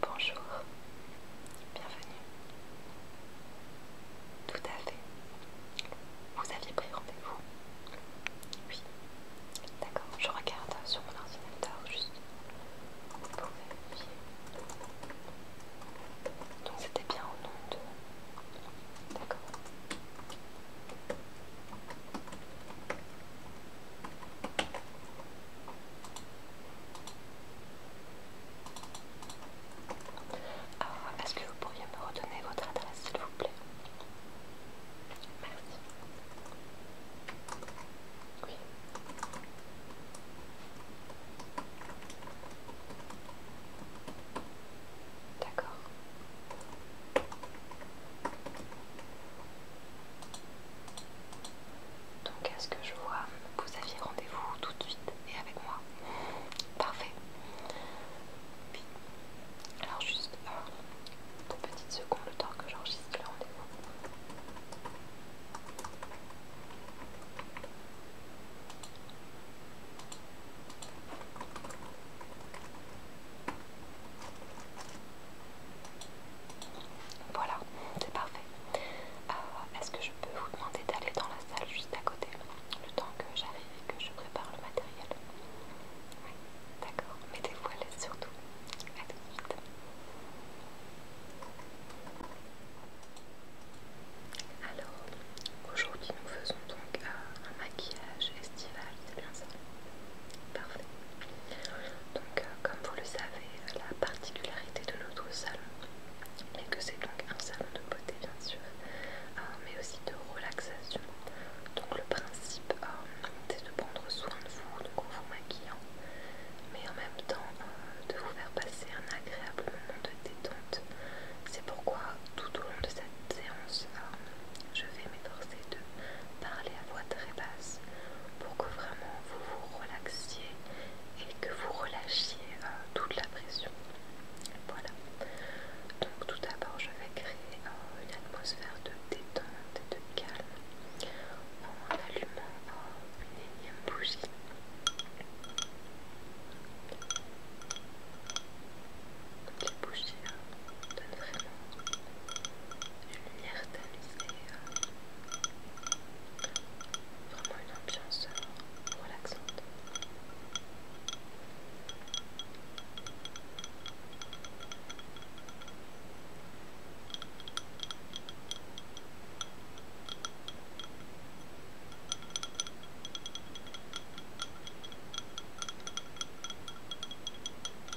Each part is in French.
Bonjour, bienvenue. Tout à fait. Vous aviez pris rendez-vous Oui. D'accord, je regarde sur mon ordinateur juste pour vérifier. Donc c'était bien au nom de... D'accord. Alors, est-ce que vous pourriez me redonner votre adresse, s'il vous plaît Merci. Oui. D'accord. Donc à ce que je vois, vous aviez rendez-vous tout de suite et avec moi. Parfait. alors juste une petite seconde le temps que j'enregistre le rendez-vous. Voilà, c'est parfait. Euh, est-ce que je peux vous demander d'aller dans la salle juste à côté le temps que j'arrive et que je prépare le matériel Oui, d'accord. Mettez-vous à surtout. A tout de suite. Alors, aujourd'hui nous faisons donc euh, un maquillage estival, c'est bien ça Parfait. Donc, euh, comme vous le savez, la particularité de notre salon est que c'est donc un salon de beauté, bien sûr, euh, mais aussi de relaxation. Donc, le principe, est euh, c'est de prendre soin de vous, de vous maquiller mais en même temps de vous faire passer un agréable moment de détente. C'est pourquoi, tout au long de cette séance, je vais m'efforcer de parler à voix très basse pour que vraiment vous vous relaxiez et que vous relâchiez euh, toute la pression. Voilà. Donc tout d'abord, je vais créer euh, une atmosphère de détente et de calme en allumant euh, une énième bougie. Donc les bougies donnent vraiment une lumière tamisée, vraiment une ambiance relaxante.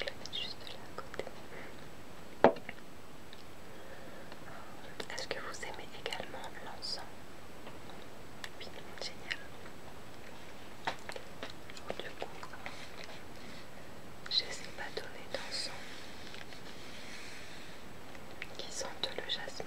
vais juste là à côté. Est-ce que vous aimez également l'encens génial. du coup, je ne sais pas donner d'encens qui sentent le jasmin.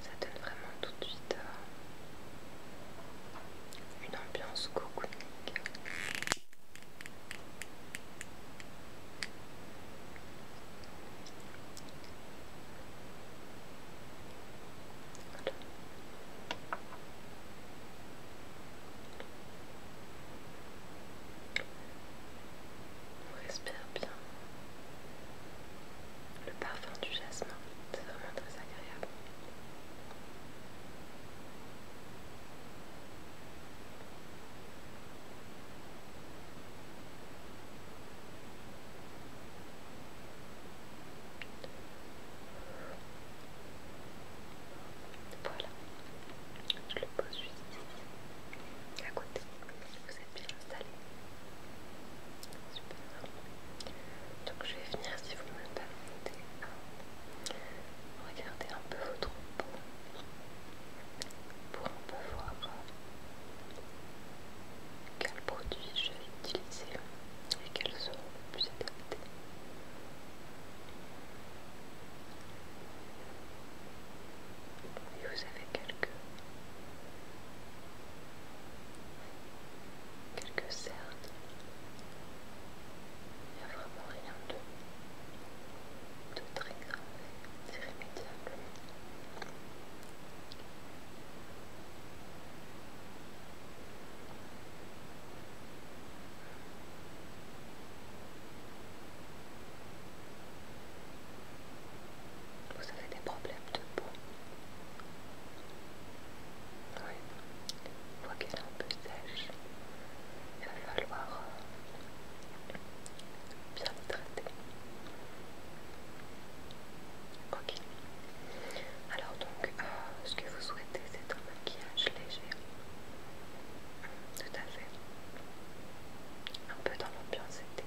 Ça donne vraiment tout de suite euh, une ambiance cocooning. On respire bien. Le parfum du jasmin, c'est vraiment très agréable. Voilà, je le pose juste ici à côté. Vous êtes bien installé. Super. Donc je vais venir, si vous me permettez permettez, regarder un peu votre peau pour un peu voir euh, quels produits je vais utiliser et quels seront les plus adaptés vous avez quelques, quelques cernes. Il n'y a vraiment rien de, très grave, d'irrémédiable. Vous avez des problèmes de peau Oui, qu'elle est un peu sèche. Il va falloir euh, bien le traiter. Ok. Alors donc, euh, ce que vous souhaitez, c'est un maquillage léger. Tout à fait un peu dans l'ambiance été.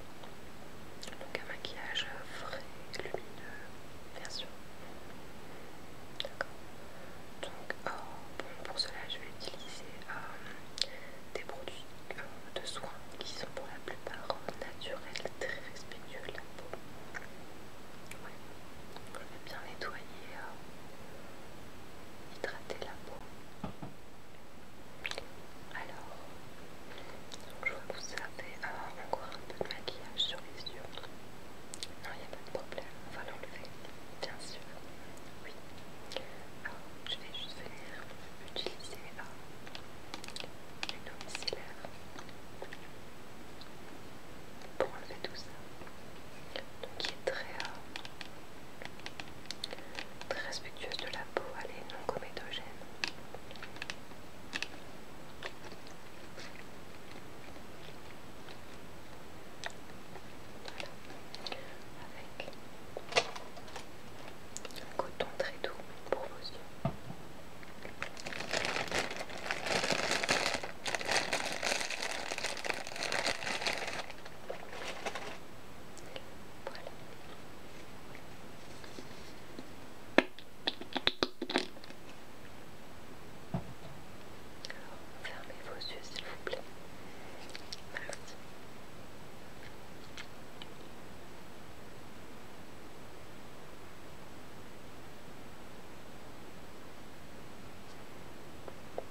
Donc un maquillage frais, lumineux, bien sûr. D'accord. Donc oh, pour cela je vais utiliser euh, des produits euh, de soins qui sont pour la plupart naturels, très respectueux de la peau. Je vais bien nettoyer, euh, hydrater la peau. Alors, je vais vous avoir euh, encore un peu de maquillage sur les yeux. Non, il n'y a pas de problème, on va l'enlever, bien sûr. Oui. Alors, je vais juste venir utiliser euh, une pour enlever tout ça. Donc, il est très, euh, Très respectueuse de la peau, elle est non comédogène. Avec un coton très doux pour vos yeux. Fermez vos yeux s'il vous plaît.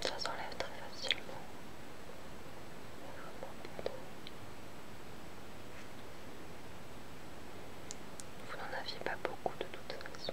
Ça s'enlève très facilement. Vous n'en aviez pas beaucoup de toute façon.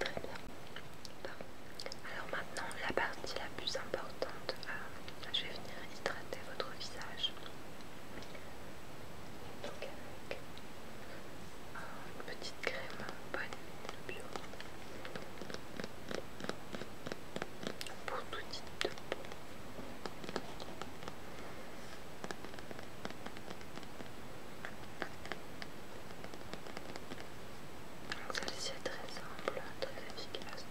Très bien. Alors maintenant, la partie la plus importante, euh, je vais venir hydrater votre visage. avec euh, une petite crème bonne bio pour tout type de peau. Donc celle-ci est très simple, très efficace.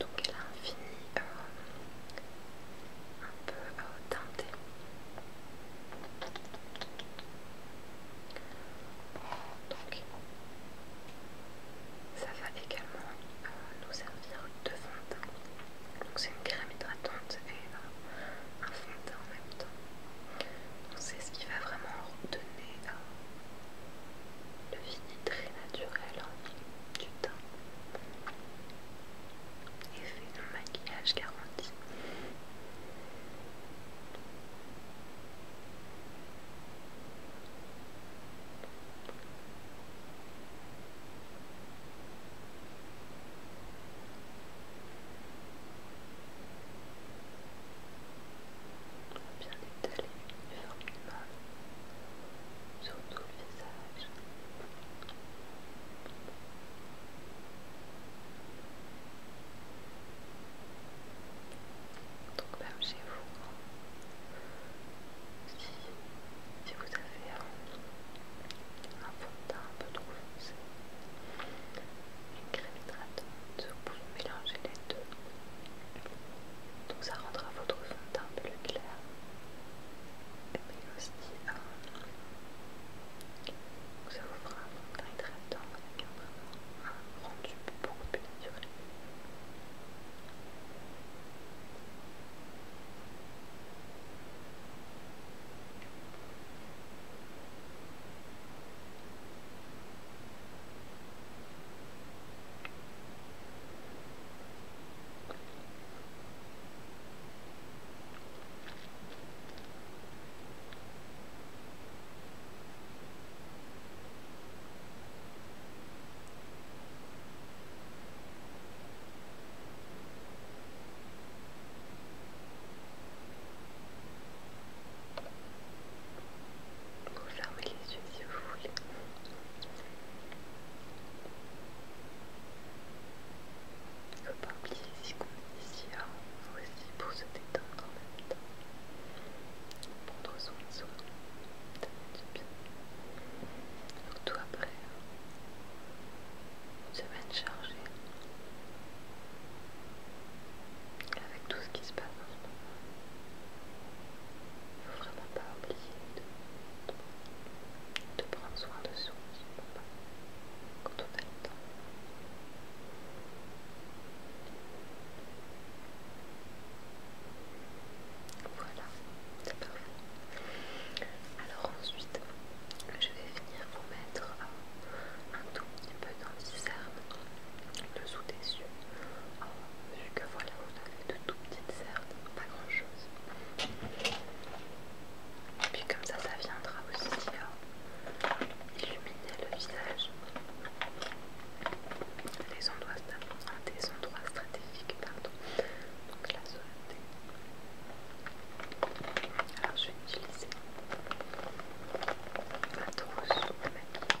Donc elle a un fini euh, un peu à euh, teinté. Donc, ça va également euh, nous servir de fond de teint. Donc c'est une crème hydratante et euh, un fond de teint en même temps. c'est ce qui va vraiment redonner euh, le fini très naturel hein, du teint fait un maquillage garanti. Bien étalé uniformément sur tout le visage. Donc même chez vous, si, vous avez un, fond de teint un peu trop foncé, une crème hydratante, vous pouvez mélanger les deux. Donc ça rendra votre fond de teint plus clair à ça vous fera un montagne très temps avec un, un rendu beaucoup plus naturel. Vous les yeux si vous voulez. Il faut pas oublier ici qu'on ici aussi pour se détendre en même temps. Prendre soin de soi, ça bien. Surtout après hein. une semaine chargée. Avec tout ce qui se passe en ce moment, il ne faut vraiment pas oublier de, prendre soin de soi quand on a le temps. Voilà, c'est parfait. Alors ensuite, je vais venir vous mettre un tout petit peu les cerne dessous des yeux. vu que voilà, vous de tout petites cernes, pas grand chose. Et puis comme ça, ça viendra aussi hein. illuminer le visage. Les endroits, ah, des endroits stratégiques, pardon. Donc la solennité Alors je vais utiliser ma trousse de maquillage.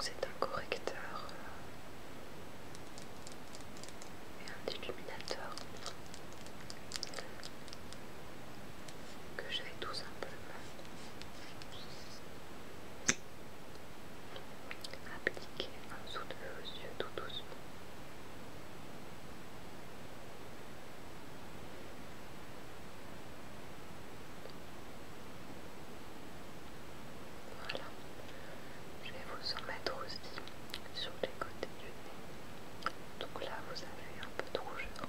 c'est un correcteur euh, et un illuminateur que j'avais tout simplement Appliquez en dessous de vos yeux tout doucement. Voilà. Je vais vous en mettre aussi sur les côtés du nez. Donc là, vous avez un peu de rougeur.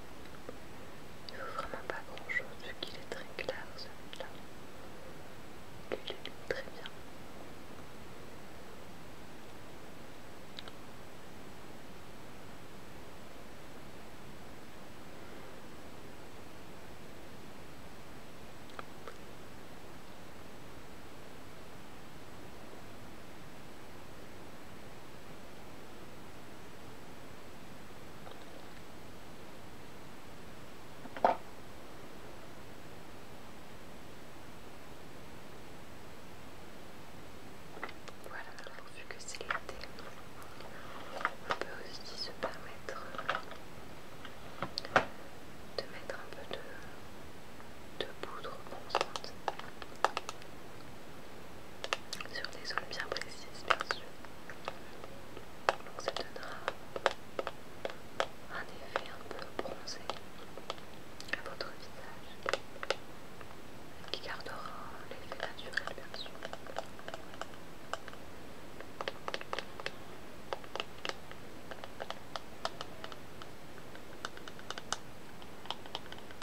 Il ne faut vraiment pas grand chose vu qu'il est très clair celui-là. Il est très bien. Voilà, alors vu que c'est l'été, on peut aussi se permettre de mettre un peu de, poudre ensemble sur des zones bien précises, bien sûr. Donc ça donnera un effet un peu bronzé à votre visage qui gardera l'effet naturel, bien sûr.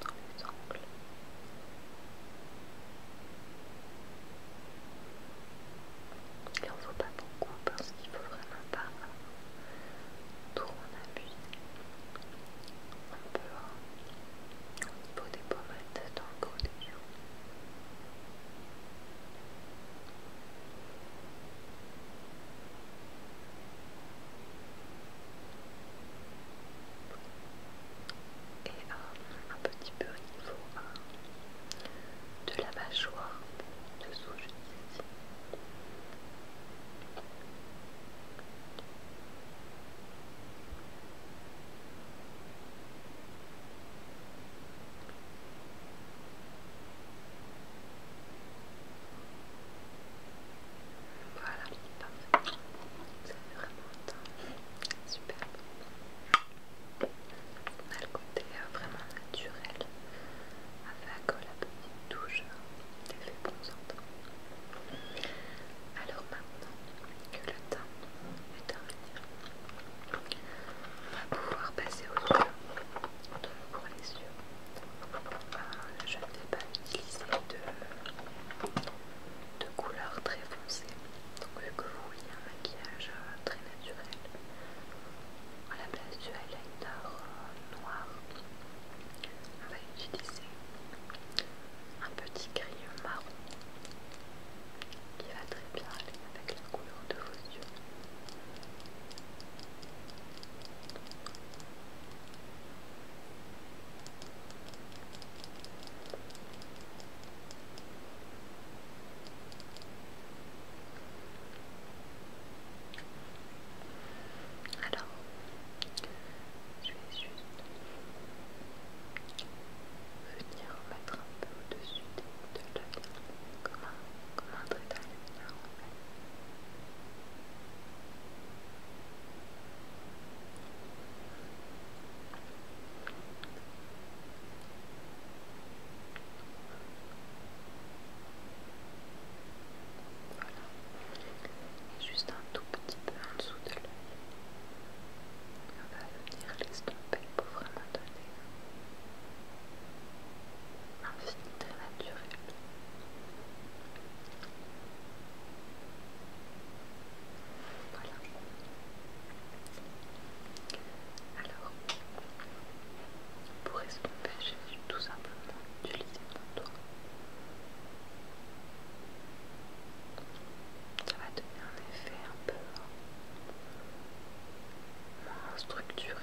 dans les angles. Il ne faut pas beaucoup parce qu'il faut vraiment pas trop en appuyer. un peu hein, au niveau des pommettes dans le côté. des et euh, un petit peu au niveau euh, de la mâchoire dessous, je ici. Voilà, parfait. Ça fait vraiment un teint superbe. On a le côté euh, vraiment naturel avec la petite touche euh, d'effet bronzante. Alors maintenant que le teint est terminé, on va pouvoir passer aux yeux. Donc pour les yeux, euh, je ne vais pas utiliser de, de couleur très foncée. Donc vu que vous voulez un maquillage euh, très naturel, à la place du highlighter euh, noir, on va utiliser un petit crayon marron qui va très bien aller avec la couleur de vos yeux. Alors, je vais juste venir mettre un peu au-dessus de la comme un, comme un trait d'aluminium voilà. juste un tout petit peu en dessous de l'œil. On va venir l'estomper pour vraiment donner un très naturel. Voilà. Alors, pour estomper, j'ai tout simplement utiliser. mon doigt. Ça va donner un effet un peu euh, moins structuré.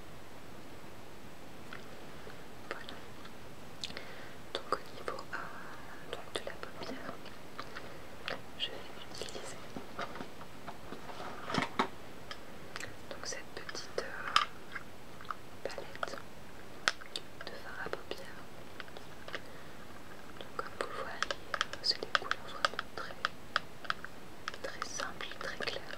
Donc au niveau euh, de la paupière, je vais utiliser donc cette petite euh, palette de fard à paupières. comme vous le voyez, euh, c'est des couleurs vraiment très, très et très claires.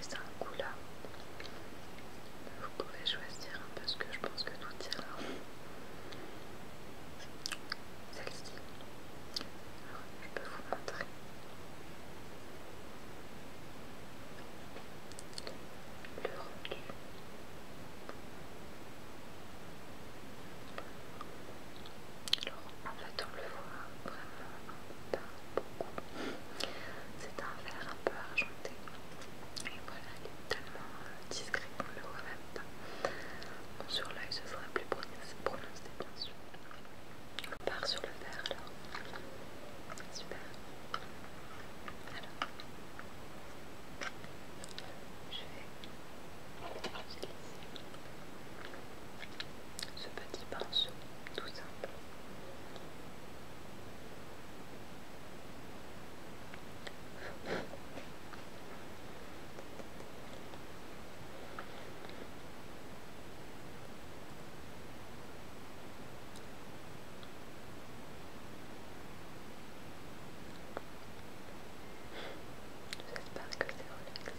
c'est un coup là. Vous pouvez choisir parce que je pense que tout ira. Celle-ci, je peux vous montrer. Le rendu. Alors en fait on le voit vraiment pas c'est un verre un peu argenté. Et voilà, il est tellement euh, discret qu'on le voit même pas. Bon, sur l'œil, ce sera plus prononcé, prononcé, On part sur le verre alors. Super. Alors, je vais utiliser ce petit pinceau tout simple. J'espère que c'est relaxant.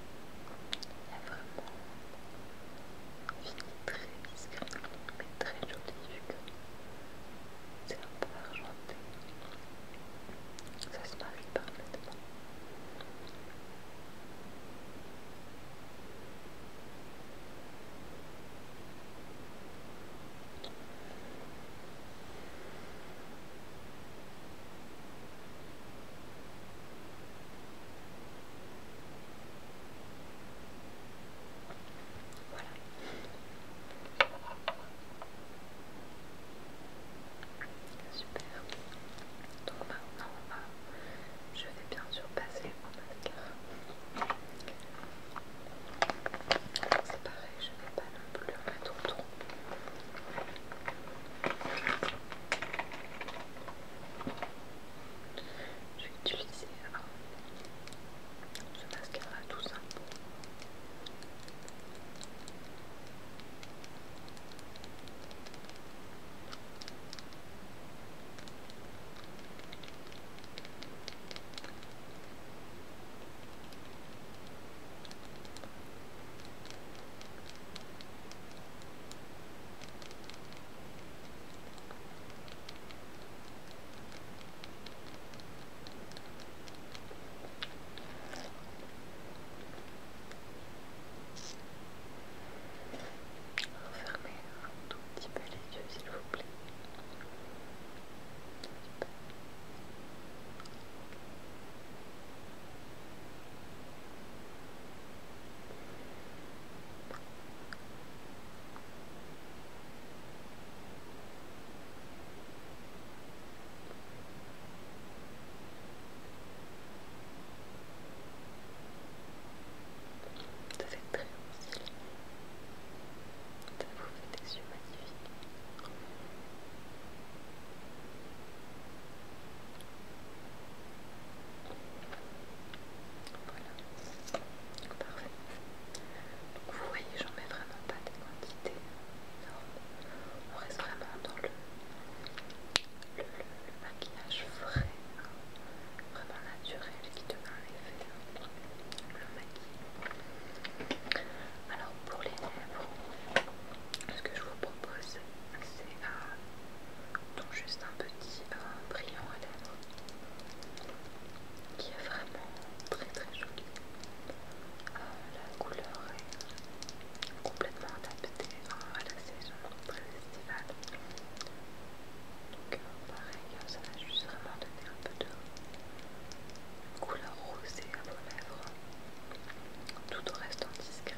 Il y a vraiment fini très discret mais très joli vu que c'est un peu argenté. Ça se marie parfaitement. Super. Donc maintenant, je vais bien sûr passer mon mascara. C'est pareil, je n'ai pas non plus un je vais utiliser ce mascara tout simple. Fermez un tout petit peu les yeux, s'il vous plaît. Ça fait très stylé. Ça vous fait des yeux magnifiques. Voilà. Parfait. vous voyez, j'en mets vraiment pas des quantités On reste vraiment dans le, maquillage frais, hein. vraiment naturel qui donne un effet. Hein. le maquillage. Alors pour les lèvres, ce que je vous propose, c'est à donc juste un petit brillant à lèvres qui est vraiment très très joli. Euh, la couleur est complètement adaptée à la saison très estivale. Donc euh, pareil, hein, ça va juste vraiment donner un peu de couleur rosée à vos lèvres tout reste restant discret.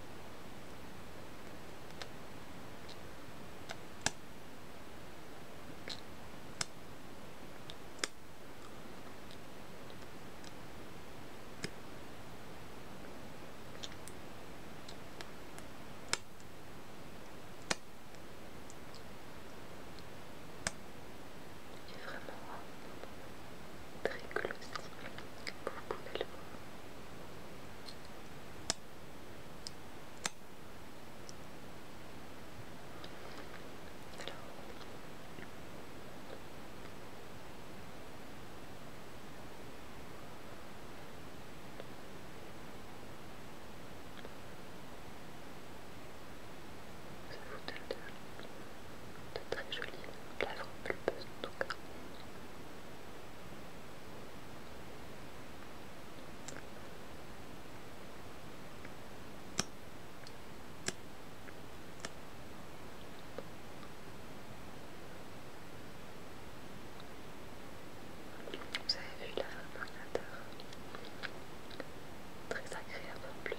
C'est vraiment très glossy, vous pouvez le voir. C'est Ça très jolie la pulpeuses en tout vous avez vu la ordinateur Très agréable en plus.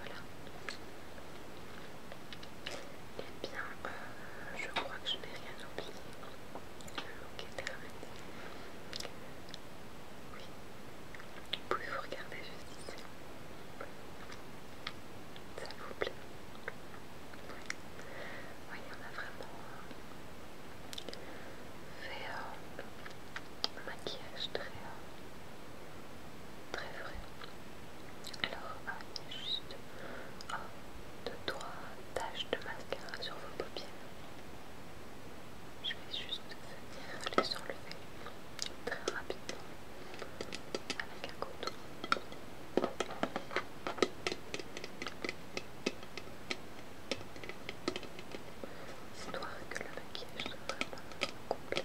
Voilà. Eh bien, euh, je crois que je n'ai rien oublié. Oui. Vous pouvez vous regarder juste ici. Ça vous plaît Oui. on a vraiment euh, fait euh, un maquillage très, euh, très vrai. Alors, ah, a juste... Oh, de trois taches de mascara sur vos paupières. Je vais juste venir les enlever très rapidement avec un coton. Histoire que le maquillage soit vraiment complet.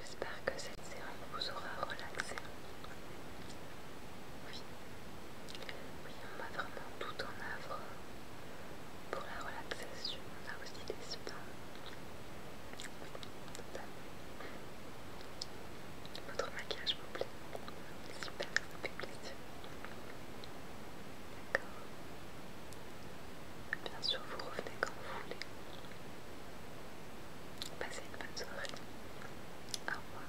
j'espère que cette séance vous aura relaxé. Oui, on m'a vraiment tout en œuvre pour la relaxation, on a aussi des soins. Votre maquillage vous plaît Super, ça fait plaisir. D'accord. Bien sûr, vous revenez quand vous voulez. Passez une bonne soirée. Au revoir.